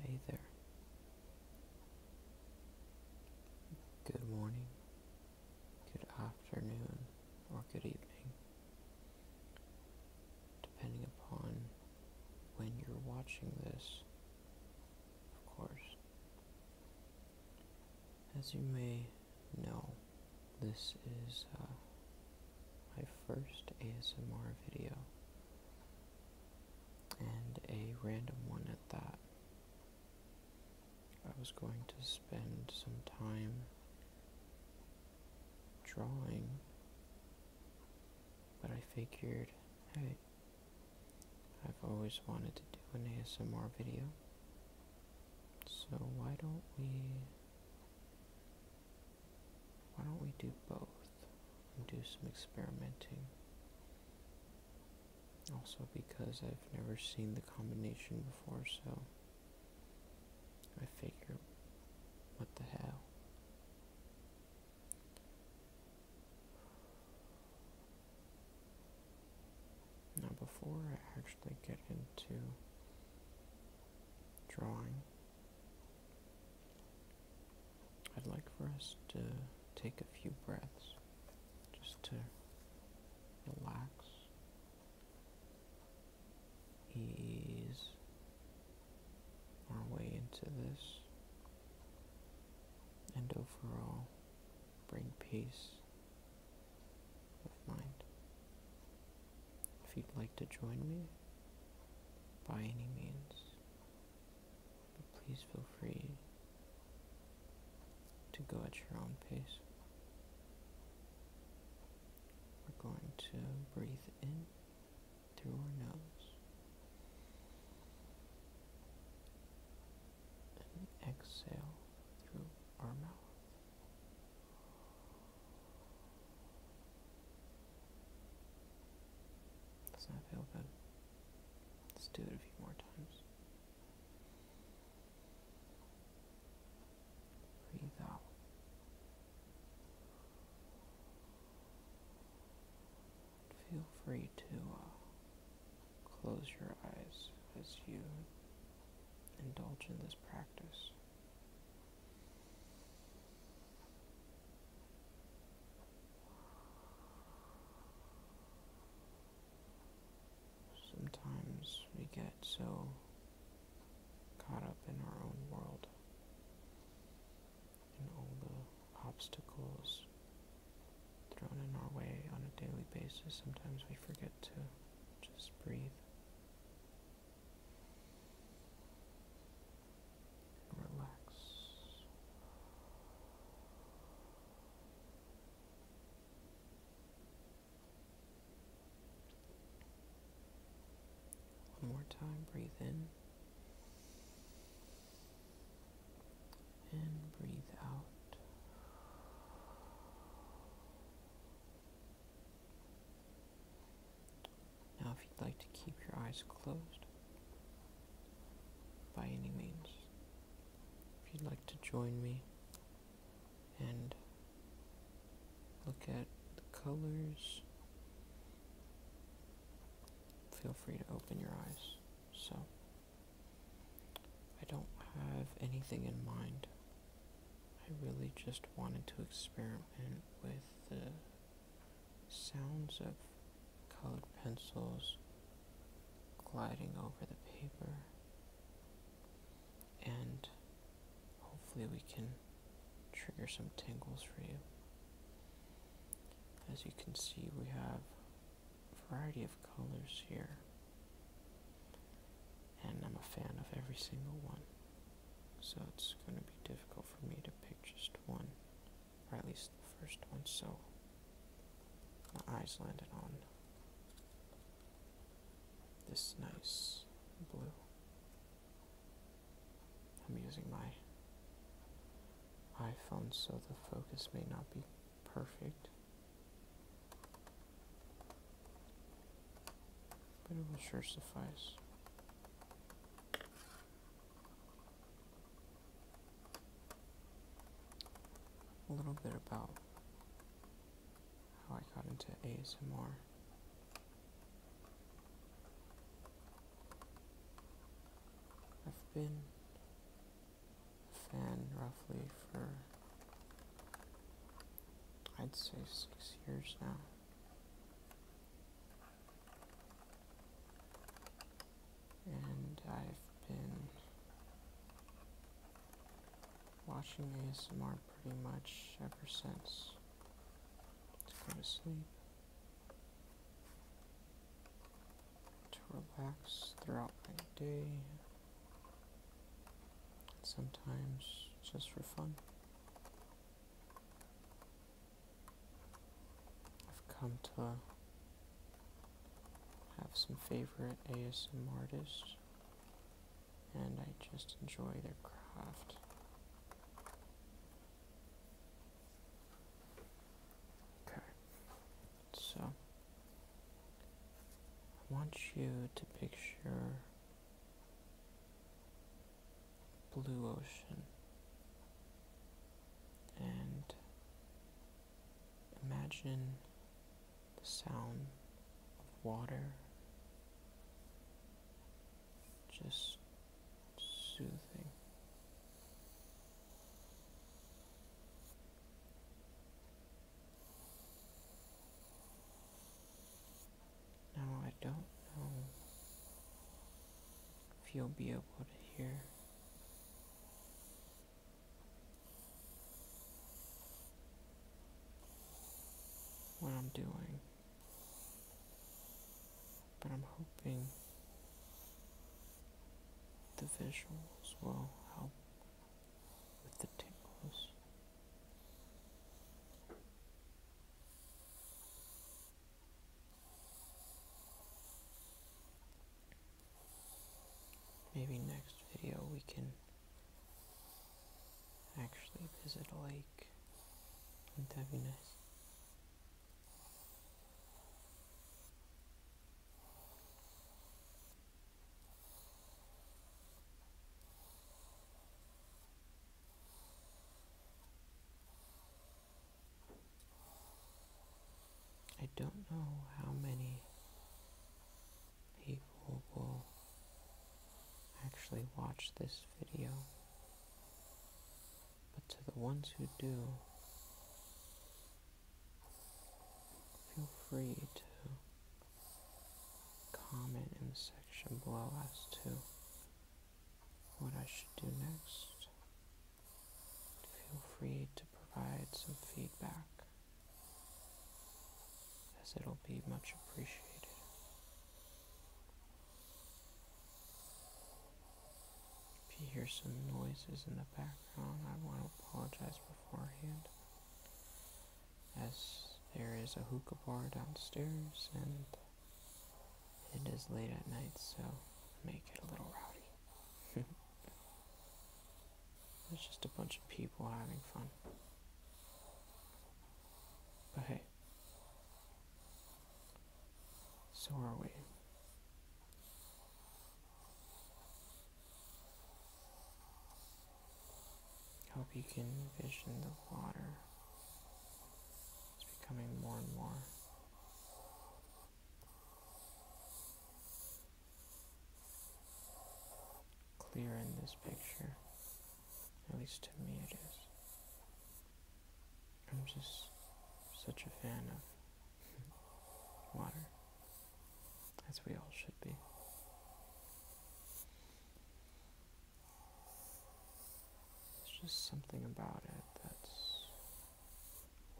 Hey there. Good morning, good afternoon, or good evening, depending upon when you're watching this, of course. As you may know, this is uh, my first ASMR video, and a random one at that. I was going to spend some time drawing, but I figured, hey, I've always wanted to do an ASMR video, so why don't we why don't we do both and do some experimenting? Also because I've never seen the combination before, so I figure what the hell. Now, before I actually get into drawing, I'd like for us to take a few breaths just to relax, ease our way into this, and overall bring peace with mind. If you'd like to join me, by any means, please feel free to go at your own pace. We're going to breathe in through our nose and exhale through our mouth. Does that feel good? Let's do it a few more times. Breathe out. Feel free to uh, Close your eyes as you indulge in this practice. Sometimes we get so caught up in our own world and all the obstacles thrown in our way on a daily basis, sometimes we forget to just breathe relax. One more time, breathe in and breathe out. Now, if you'd like to keep your eyes closed, by any means, if you'd like to join me and look at the colors, feel free to open your eyes. So, I don't have anything in mind. I really just wanted to experiment with the sounds of colored pencils gliding over the paper, and hopefully, we can trigger some tingles for you. As you can see, we have variety of colors here, and I'm a fan of every single one, so it's going to be difficult for me to pick just one, or at least the first one, so my eyes landed on this nice blue. I'm using my iPhone so the focus may not be perfect. But it will sure suffice. A little bit about how I got into ASMR. I've been fan roughly for I'd say six years now. And I've been watching ASMR pretty much ever since to go to sleep to relax throughout my day, sometimes just for fun. I've come to have some favorite ASM artists, and I just enjoy their craft. Okay. So I want you to picture blue ocean and imagine the sound of water just soothing now I don't know if you'll be able to hear. What I'm doing, but I'm hoping the visuals will help with the tingles. Maybe next video we can actually visit a lake. Wouldn't that be nice? I don't know how many people will actually watch this video, but to the ones who do, Feel free to comment in the section below as to what I should do next. Feel free to provide some feedback as it'll be much appreciated. If you hear some noises in the background, I want to apologize beforehand, as there is a hookah bar downstairs and it is late at night, so make it a little rowdy. it's just a bunch of people having fun. But hey, so are we. Hope you can envision the water. It's becoming more and more. clear in this picture. At least to me it is. I'm just such a fan of water, as we all should be. There's just something about it that's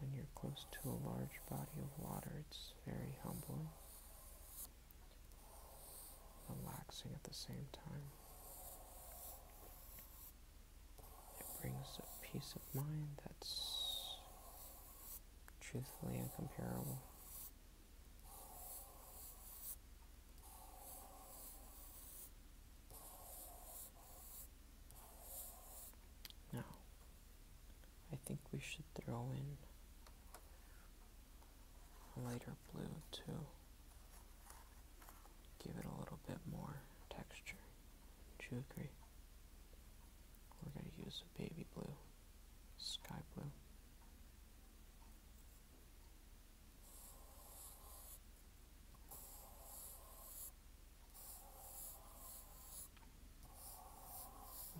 when you're close to a large body of water, it's very humbling, relaxing at the same time. It brings a peace of mind that's truthfully incomparable. Now, I think we should throw in a lighter blue too give it a little bit more texture. Would you agree? We're gonna use baby blue, sky blue.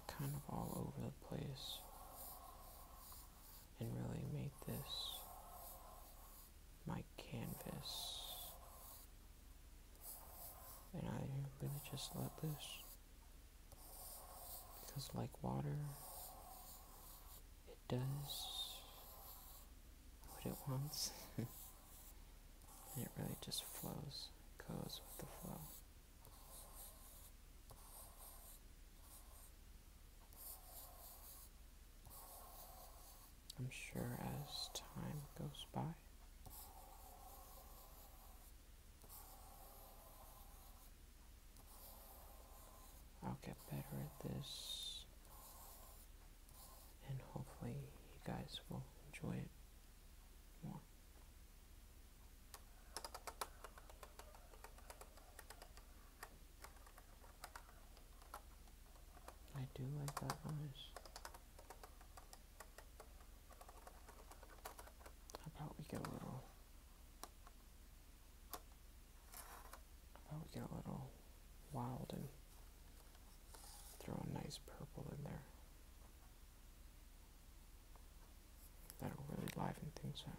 kind of all over the place and really made this my canvas and I really just let loose. Because, like water, it does what it wants. and it really just flows, goes with the flow. I'm sure as time goes by. I'll get better at this and hopefully you guys will enjoy it more. I do like that noise. How about we get a little? How about we get a little wild and throw a nice purple in there? That'll really liven things up.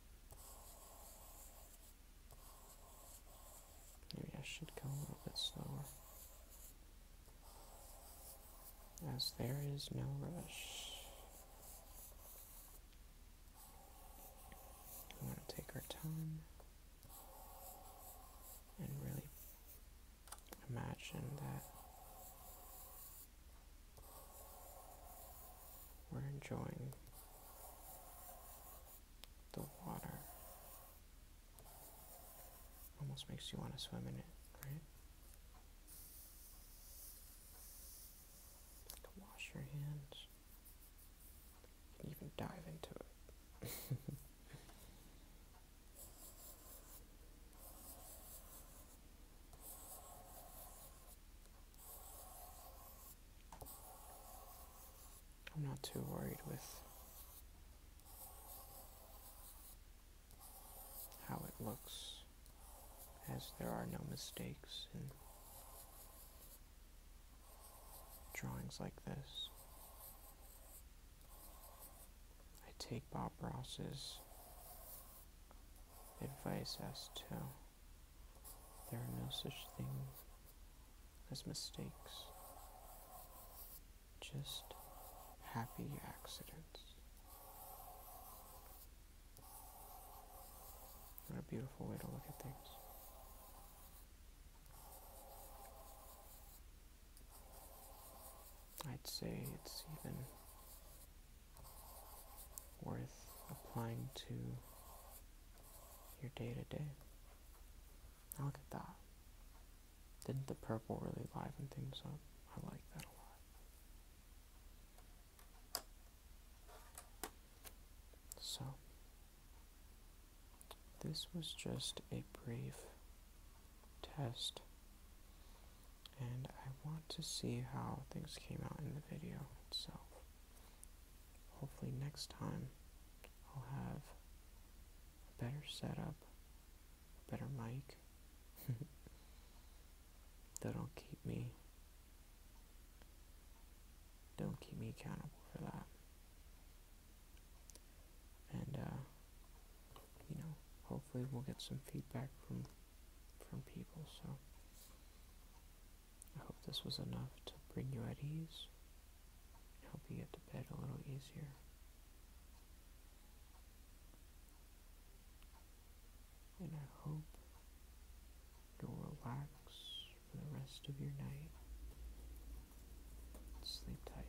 Maybe I should go a little bit slower. As there is no rush. I'm to take our time and really imagine that we're enjoying the water. Almost makes you want to swim in it, right? You wash your hands. even dive into it. I'm not too worried with how it looks, as there are no mistakes in drawings like this. I take Bob Ross's advice as to there are no such things as mistakes, just happy accidents. What a beautiful way to look at things. I'd say it's even worth applying to your day to day. Now look at that. Didn't the purple really liven things up? I like that a lot. So, this was just a brief test, and I want to see how things came out in the video itself. Hopefully, next time I'll have a better setup, a better mic that'll keep me. Don't keep me accountable for that. And, uh, you know, hopefully we'll get some feedback from from people, so I hope this was enough to bring you at ease and help you get to bed a little easier. And I hope you relax for the rest of your night. Sleep tight.